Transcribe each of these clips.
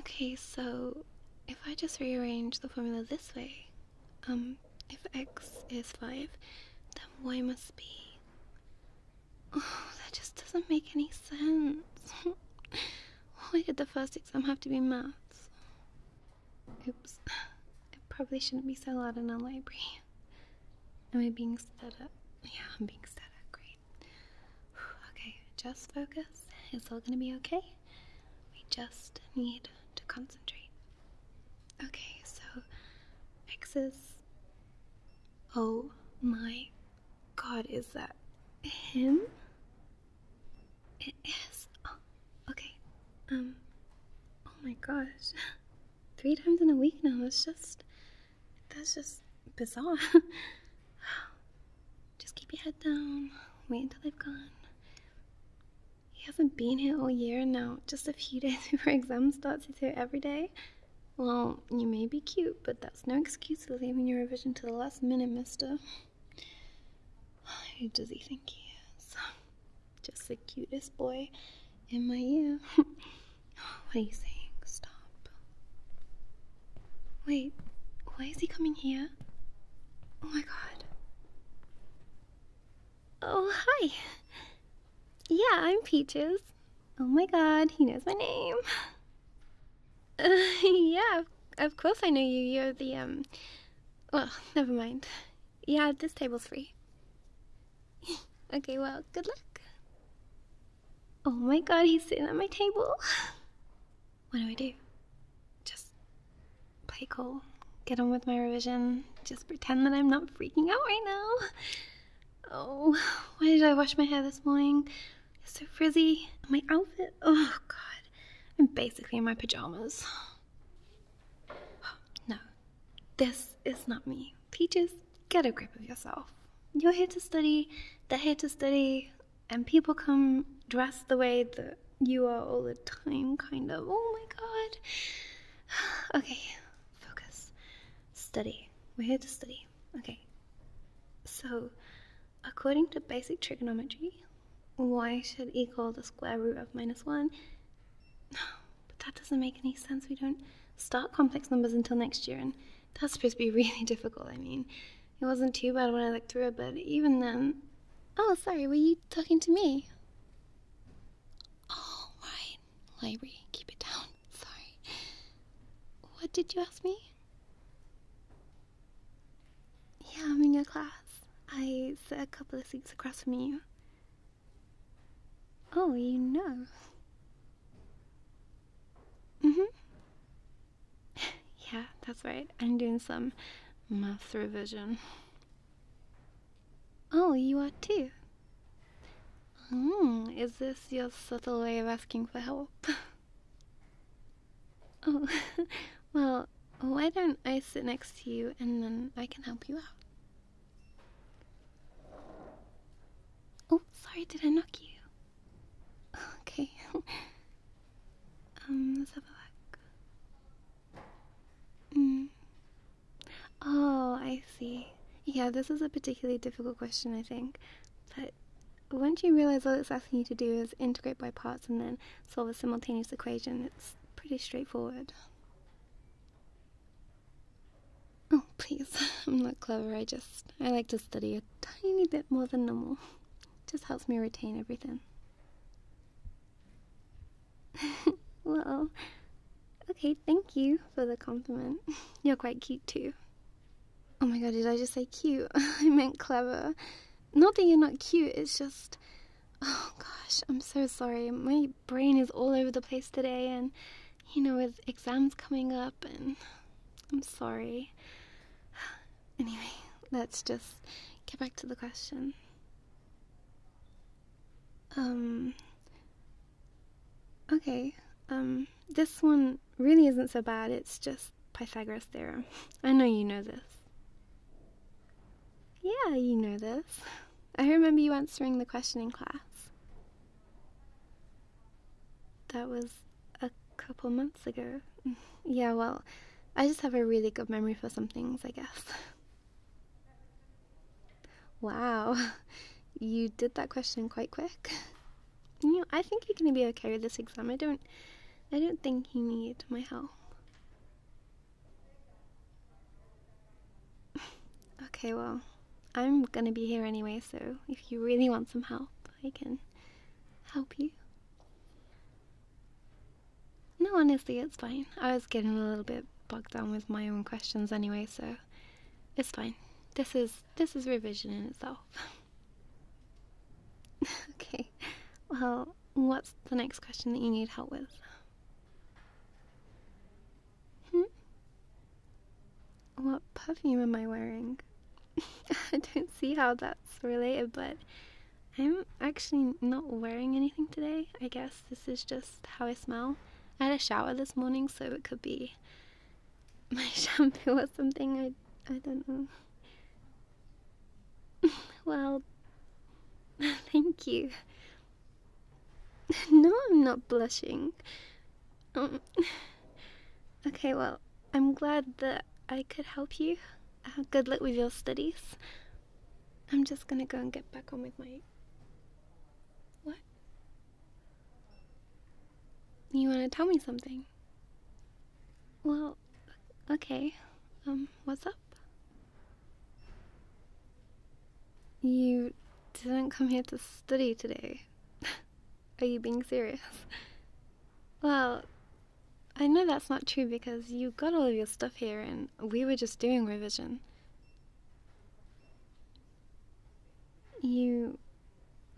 Okay, so if I just rearrange the formula this way, um, if x is 5, then y must be. Oh, that just doesn't make any sense. Why did the first exam have to be maths? Oops, it probably shouldn't be so loud in a library. Am I being set up? Yeah, I'm being set up. Great. Okay, just focus. It's all gonna be okay. We just need to concentrate. Okay, so X's. Oh my god, is that him? It is. Oh, okay. Um. Oh my gosh. three times in a week now. That's just, that's just bizarre. just keep your head down. Wait until they've gone. He hasn't been here all year now. Just a few days before exams starts, he's here every day. Well, you may be cute, but that's no excuse for leaving your revision to the last minute, mister. Who does he think he is? Just the cutest boy in my year. what are you saying? Stop. Wait, why is he coming here? Oh my god. Oh, hi. Yeah, I'm Peaches. Oh my god, he knows my name. yeah, of course I know you. You're the, um. Well, never mind. Yeah, this table's free. okay, well, good luck. Oh my god, he's sitting at my table. What do I do? Just play cool, get on with my revision, just pretend that I'm not freaking out right now. Oh, why did I wash my hair this morning? It's so frizzy. My outfit, oh god, I'm basically in my pajamas. No, this is not me. Peaches, get a grip of yourself. You're here to study, they're here to study, and people come dressed the way that you are all the time, kind of. Oh my god. Okay, focus. Study. We're here to study. Okay. So, according to basic trigonometry, y should equal the square root of minus 1. But that doesn't make any sense. We don't start complex numbers until next year, and that's supposed to be really difficult. I mean, it wasn't too bad when I looked through it, but even then. Oh, sorry, were you talking to me? Oh, Library, keep it down. Sorry. What did you ask me? Yeah, I'm in your class. I sit a couple of seats across from you. Oh, you know. Mm hmm. yeah, that's right. I'm doing some math revision. Oh, you are too. Hmm, is this your subtle way of asking for help? oh, well, why don't I sit next to you and then I can help you out? Oh, sorry, did I knock you? Okay. um, let's have a look. Mm. Oh, I see. Yeah, this is a particularly difficult question, I think. But once you realize all it's asking you to do is integrate by parts and then solve a simultaneous equation, it's pretty straightforward. Oh, please. I'm not clever. I just I like to study a tiny bit more than normal. Just helps me retain everything. well, okay, thank you for the compliment. You're quite cute too. Oh my god, did I just say cute? I meant clever. Not that you're not cute, it's just Oh gosh, I'm so sorry. My brain is all over the place today, and you know, with exams coming up, and I'm sorry. Anyway, let's just get back to the question. Um, okay, um, this one really isn't so bad, it's just Pythagoras' theorem. I know you know this. Yeah, you know this. I remember you answering the question in class. That was a couple months ago. Yeah, well, I just have a really good memory for some things, I guess. Wow, you did that question quite quick. You know, I think you're gonna be okay with this exam. I don't I don't think you need my help. okay, well, I'm gonna be here anyway, so if you really want some help, I can help you. No, honestly, it's fine. I was getting a little bit bogged down with my own questions anyway, so it's fine. This is this is revision in itself. okay, well, what's the next question that you need help with. Hmm? What perfume am I wearing? I don't see how that's related, but I'm actually not wearing anything today. I guess this is just how I smell. I had a shower this morning, so it could be my shampoo or something. I I don't know. well, thank you. No, I'm not blushing. Um, okay, well, I'm glad that I could help you. Uh, good luck with your studies. I'm just gonna go and get back home with my. What? You wanna tell me something? Well, okay. Um, what's up? You didn't come here to study today. Are you being serious? Well, I know that's not true because you got all of your stuff here and we were just doing revision. You.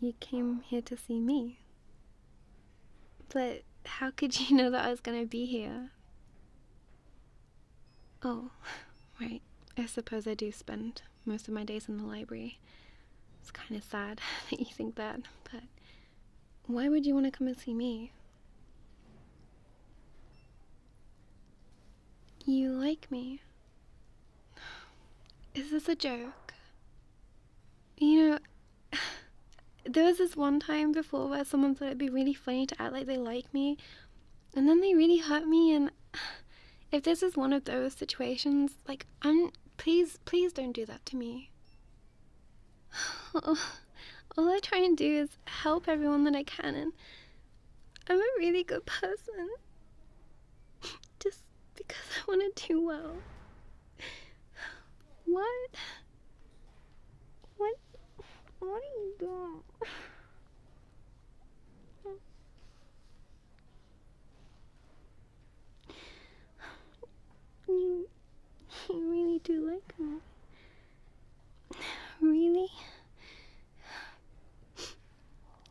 you came here to see me. But how could you know that I was gonna be here? Oh, right. I suppose I do spend most of my days in the library. It's kind of sad that you think that, but why would you want to come and see me? You like me. Is this a joke? You know, there was this one time before where someone thought it'd be really funny to act like they like me, and then they really hurt me. And if this is one of those situations, like, I'm please, please don't do that to me. All I try and do is help everyone that I can, and I'm a really good person just because I want to do well. What? What? What are you doing? You, you really do like me. Really?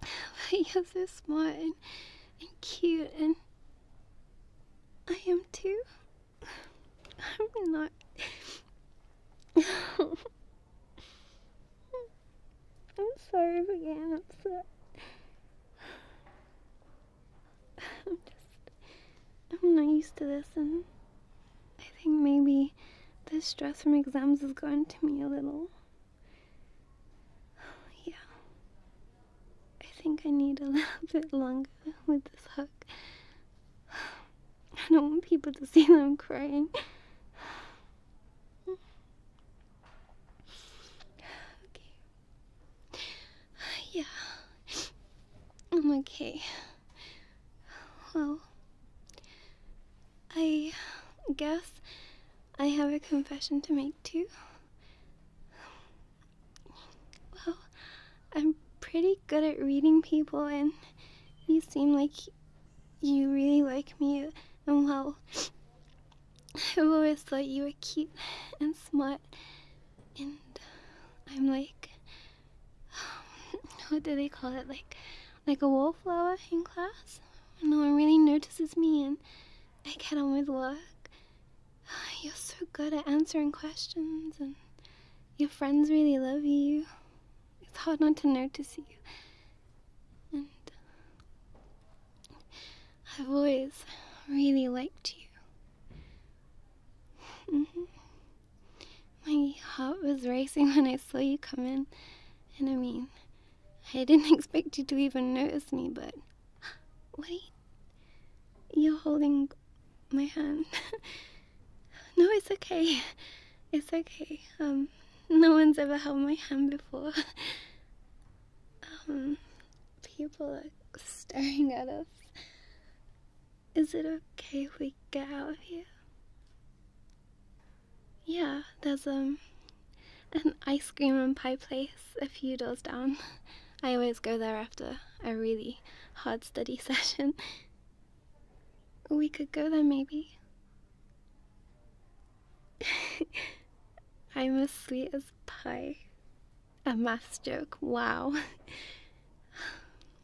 But you're so smart and, and cute and I am too. I'm not. I'm sorry for getting upset. I'm just. I'm not used to this, and I think maybe the stress from exams has gotten to me a little. Yeah. I think I need a little bit longer with this hug. I don't want people to see them crying. Okay. Yeah. I'm okay. Well, I guess I have a confession to make too. Well, I'm pretty good at reading people, and you seem like you really like me. And well, I've always thought you were cute and smart, and I'm like, what do they call it? Like, like a wallflower in class. No one really notices me, and I get on with work. You're so good at answering questions, and your friends really love you. It's hard not to notice you. And uh, I've always really liked you. Mm-hmm. My heart was racing when I saw you come in, and I mean, I didn't expect you to even notice me, but what are you holding my hand. no, it's okay. It's okay. Um, no one's ever held my hand before. um, people are staring at us. Is it okay if we get out of here? Yeah, there's um an ice cream and pie place a few doors down. I always go there after a really hard study session. We could go there maybe. I'm as sweet as pie. A math joke, wow.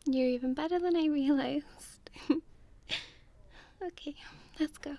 You're even better than I realized. okay, let's go.